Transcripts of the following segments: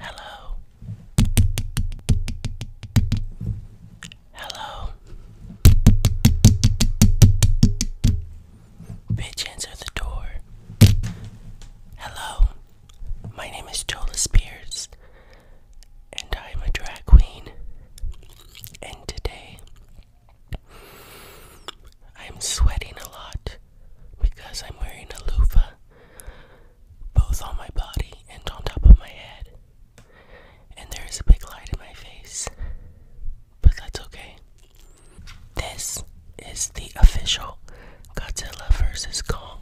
Hello. Hello. Bitch, answer the door. Hello. My name is Jola Spears, and I am a drag queen. And today I'm sweating a lot because I'm wearing a loofah both on my body and on top of my head. And there is a big light in my face. But that's okay. This is the official Godzilla vs. Kong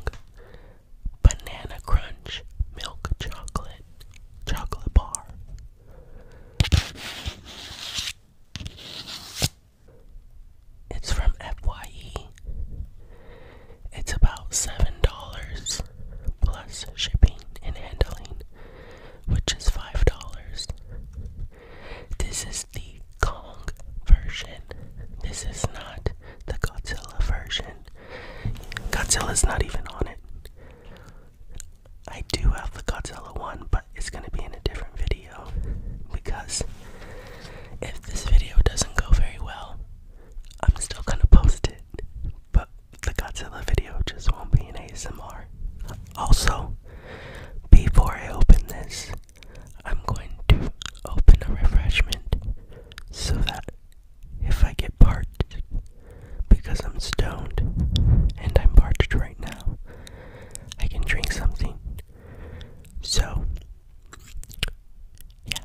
Banana Crunch Milk Chocolate Chocolate Bar. It's from FYE. It's about $7 plus shipping and handling, which is $5. This is the Kong version. This is not the Godzilla version. Godzilla's not even on it. I do have the Godzilla one, but it's gonna be in a different video because if this video doesn't go very well, I'm still gonna post it. But the Godzilla video just won't be an ASMR. Also, before I open this, I'm going to open a refreshment so that if I get part because I'm stoned and I'm parched right now. I can drink something. So, yeah.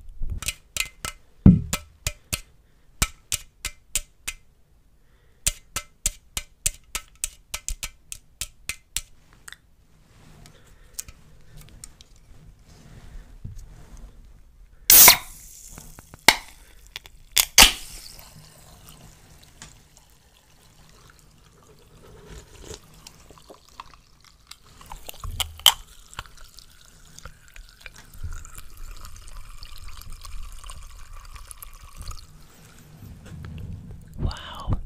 Wow,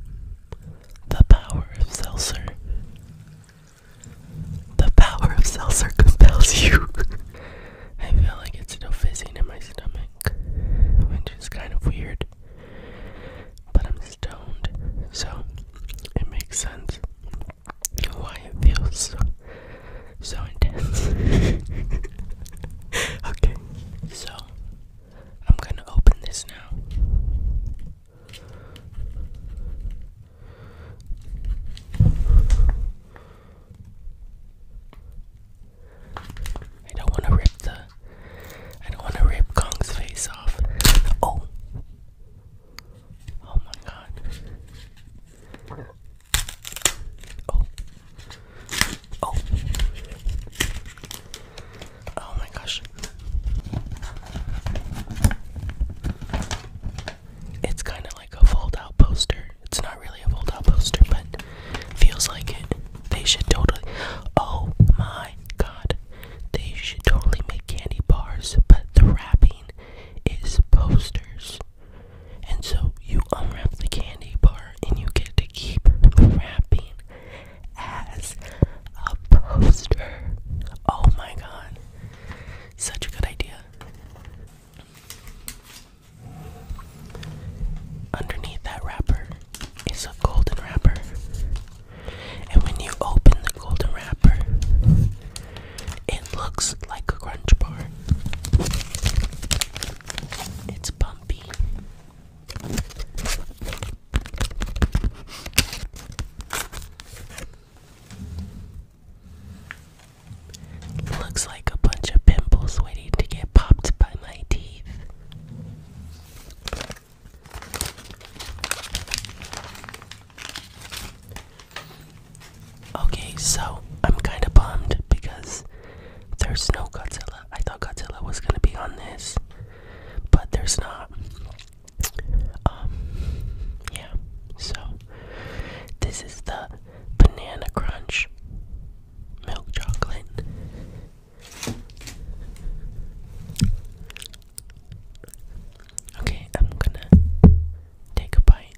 the power of seltzer. The power of seltzer compels you I feel like it's still fizzing in my stomach, which is kind of weird. But I'm stoned, so it makes sense why it feels so, intense. okay, so I'm gonna open this now. I don't want to rip the. I don't want to rip Kong's face off. Oh! Oh my god. Oh. Oh. Oh my gosh. It's kind of like a fold out poster. It's not really a fold out poster, but feels like it. They should totally. Oh my god. They should totally make candy bars, but the wrapping is posters. And so you unwrap the candy bar and you get to keep wrapping as a poster. Oh my god. Such a good idea. Underneath that wrapper is a golden wrapper. And when you open the golden wrapper, it looks like a crunch bar. It's bumpy. Looks like a bunch of pimples waiting to get popped by my teeth. Okay, so I'm kind of bummed because there's no Godzilla. I thought Godzilla was gonna be on this, but there's not. Um, yeah, so this is the Banana Crunch milk chocolate. Okay, I'm gonna take a bite.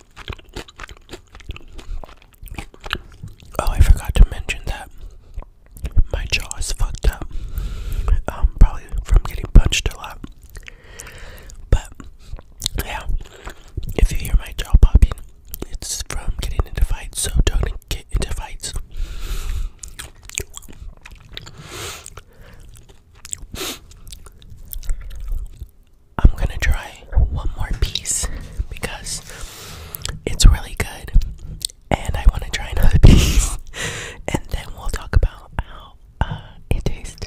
Oh, I forgot to mention that my jaw is fucked up. Um, probably from getting punched a lot. But yeah, if you hear my jaw popping, it's from getting into fights. So don't get into fights. I'm gonna try one more piece because it's really good and I wanna try another piece and then we'll talk about how uh, it tastes.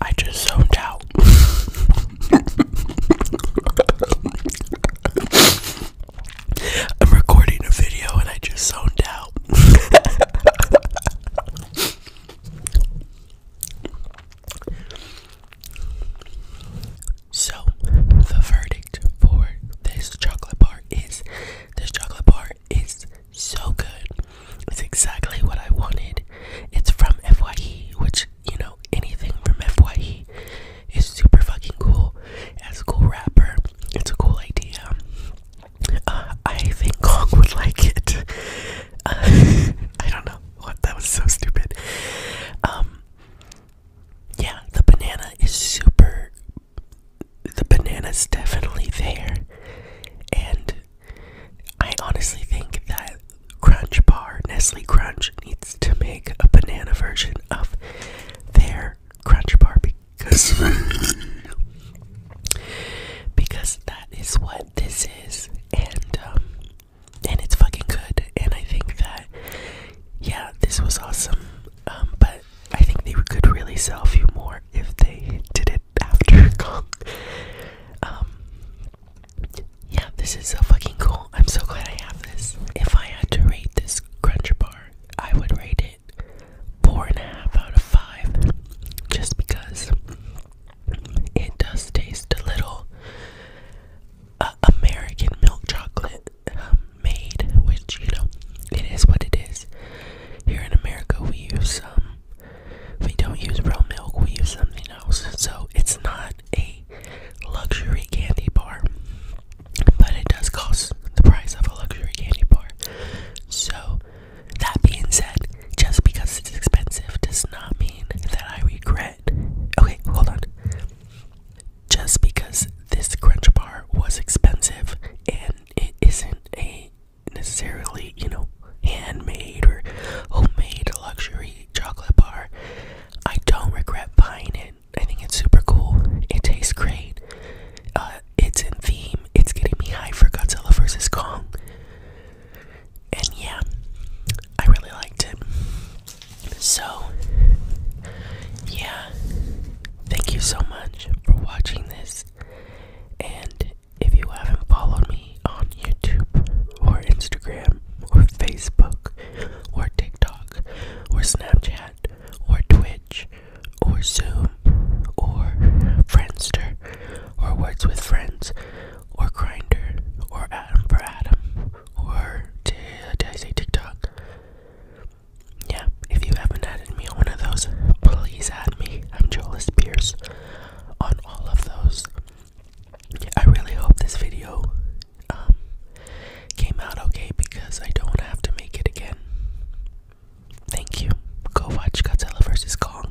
I just zoned out. I'm recording a video and I just zoned out. so, the verdict for this chocolate bar is this chocolate bar is so good. It's exactly what I wanted. It's from FYE, which, you know, anything from FYE is super fucking cool. It a cool wrapper. It's a cool idea. Uh, I think Kong would like it. Uh, I don't know. What? That was so stupid. Um, yeah, the banana is super the banana's definitely there. And I honestly think that Crunch Bar, Nestle Crunch, needs to make a banana version of their Crunch Bar because because that is what this is, and um, and it's fucking good. And I think that yeah, this was awesome. Um, but I think they could really sell a few more if they did it after Kong. Um, yeah, this is so fucking cool. I'm so glad I have this. If I had to rate this Crunch Bar, I would rate it four and a half out of five, just because it does taste a little uh, American milk chocolate made, which you know, it is what it is. Here in America, we use um, we don't use real milk. We use something else, so it's not a luxury candy bar, but it does cost the price of a luxury candy bar. So that being said, just because it's expensive does not mean that I regret. Okay, hold on just because this crunch bar was expensive and it isn't a necessarily, you know, handmade or homemade luxury chocolate bar, I don't regret buying it. I think it's super cool. It tastes great. Uh, it's in theme. It's getting me high for Godzilla versus Kong. And yeah, I really liked it. So, yeah, thank you so much for watching this. And if you haven't followed me on YouTube or Instagram or Facebook or TikTok or Snapchat or Twitch or Zoom or Friendster or Words with Friends or Grinder or Adam for Adam or did, I say TikTok? Yeah, if you haven't added me on one of those, please add me. I'm Joelis Pierce on all of those. I really hope this video um, came out okay because I don't have to make it again. Thank you. Go watch Godzilla vs. Kong.